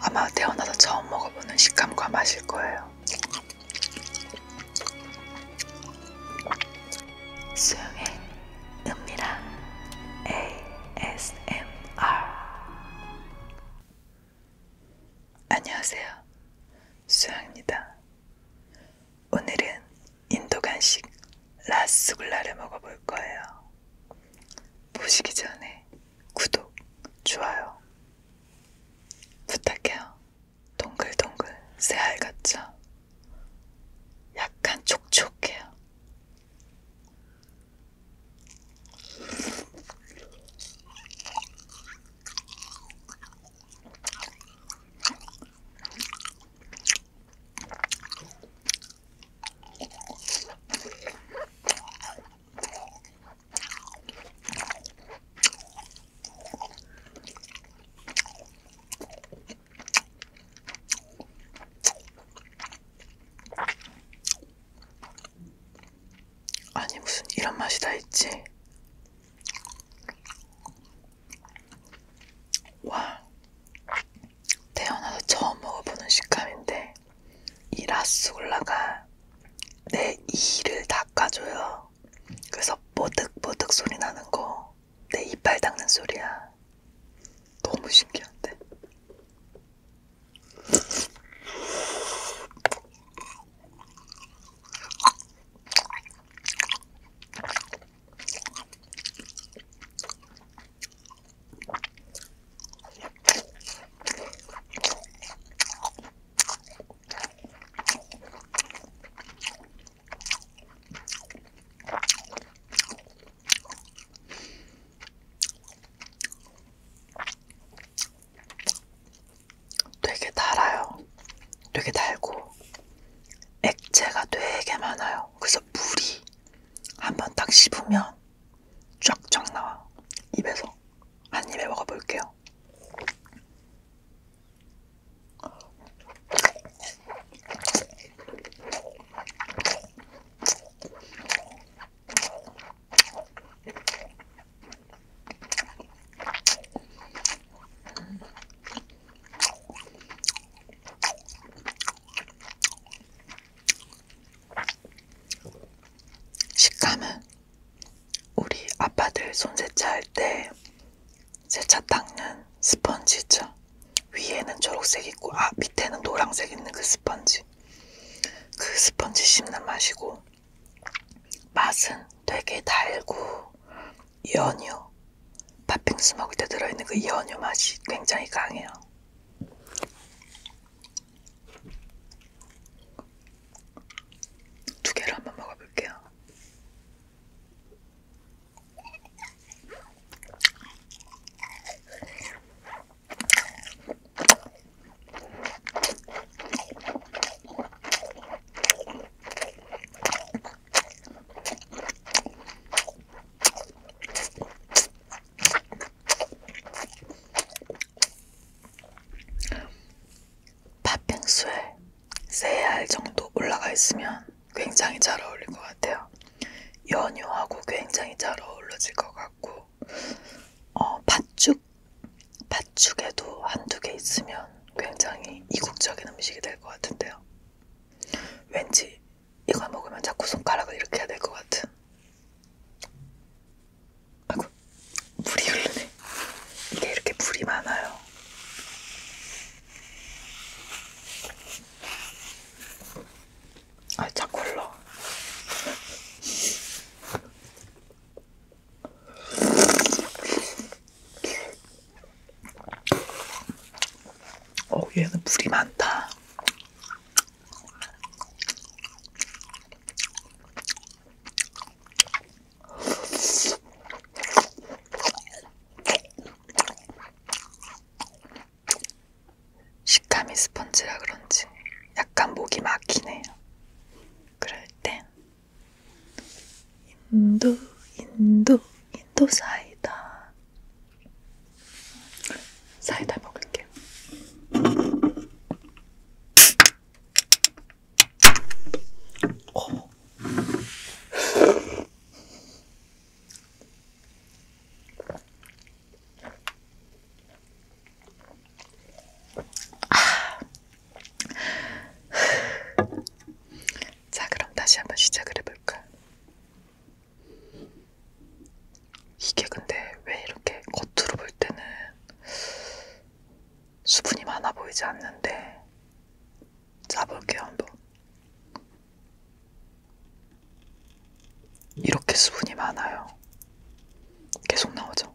아마 태어나서 처음 먹어보는 식감과 맛일 거예요. 수영의 은밀한 ASMR 안녕하세요. 수영입니다. 오늘은 인도 간식 라스굴라를 먹어볼 거예요. 보시기 전에 구독, 좋아요 부탁해요. 동글동글 새알 같죠? 약간 촉촉해요. 아니 무슨 이런 맛이 다 있지? 와 태어나서 처음 먹어보는 식감인데 이 라스굴라가 내 이를 닦아줘요. 그래서 뽀득뽀득 소리 나는 거 내 이빨 닦는 소리야. 너무 신기한데? 되게 달아요. 되게 달고 액체가 되게 많아요. 그래서 물이 한번 딱 씹으면 쫙쫙 나와 입에서 한 입에 먹어볼게요. 식감은 우리 아빠들 손 세차할 때 세차 닦는 스펀지죠. 위에는 초록색 있고 아 밑에는 노란색 있는 그 스펀지. 그 스펀지 씹는 맛이고 맛은 되게 달고 연유 팥빙수 먹을 때 들어있는 그 연유 맛이 굉장히 강해요. 두 개를 한번 먹어볼게요. 팥빙수에 세알 정도 올라가 있으면 굉장히 잘 어울릴 것 같아요. 연유하고 굉장히 잘 어울러질 것 같고 어, 팥죽 팥죽에도 한두 개 있으면 굉장히 이국적인 음식이 될 것 같은데요. 왠지 이걸 먹으면 자꾸 손가락을 이렇게 해야 될 것 같은. 아이고, 물이 흐르네. 이게 이렇게 물이 많아요. 아, 자꾸 흘러. 어, 얘는 물이 많다. 식감이 스펀지라 그런지 약간 목이 막히네요. 그럴 땐 인도, 인도, 인도 사이다. 사이다 먹을게요. 오. 아. 자, 그럼 다시 한번 시작을 해볼까? 이게 근데 왜 이렇게 겉으로 볼 때는 수분이 많아 보이지 않는데 짜볼게요 한번 이렇게 수분이 많아요 계속 나오죠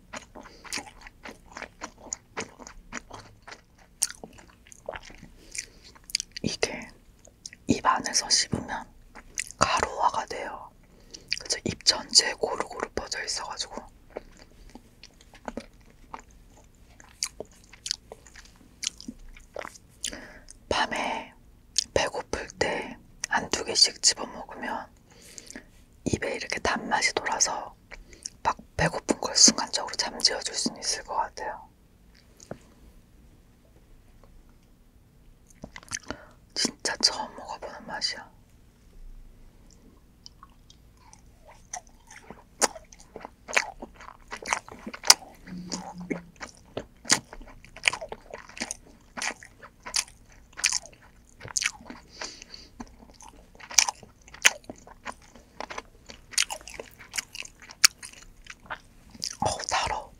이게 입 안에서 씹으면 가루화가 돼요. 그래서 입 전체에 고루고루 뻗어 있어가지고 밤에 배고플 때 한두 개씩 집어 먹으면 입에 이렇게 단맛이 돌아서 막 배고픈 걸 순간적으로 잠재워 줄 수는 있을 것 같아요. 진짜 처음 먹어보는 맛이야. 어우 달어.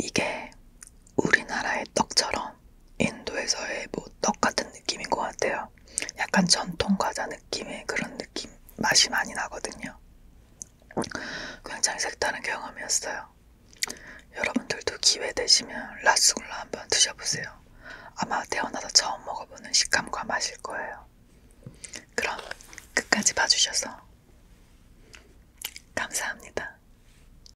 이게 우리나라의 떡처럼 인도에서의 뭐 떡 같은 느낌인 것 같아요. 약간 전통 과자 느낌의 그런 느낌 맛이 많이 나거든요. 굉장히 색다른 경험이었어요. 여러분들도 기회 되시면 라스굴라 한번 드셔보세요. 아마 태어나서 처음 먹어보는 식감과 맛일 거예요. 그럼 끝까지 봐주셔서 감사합니다.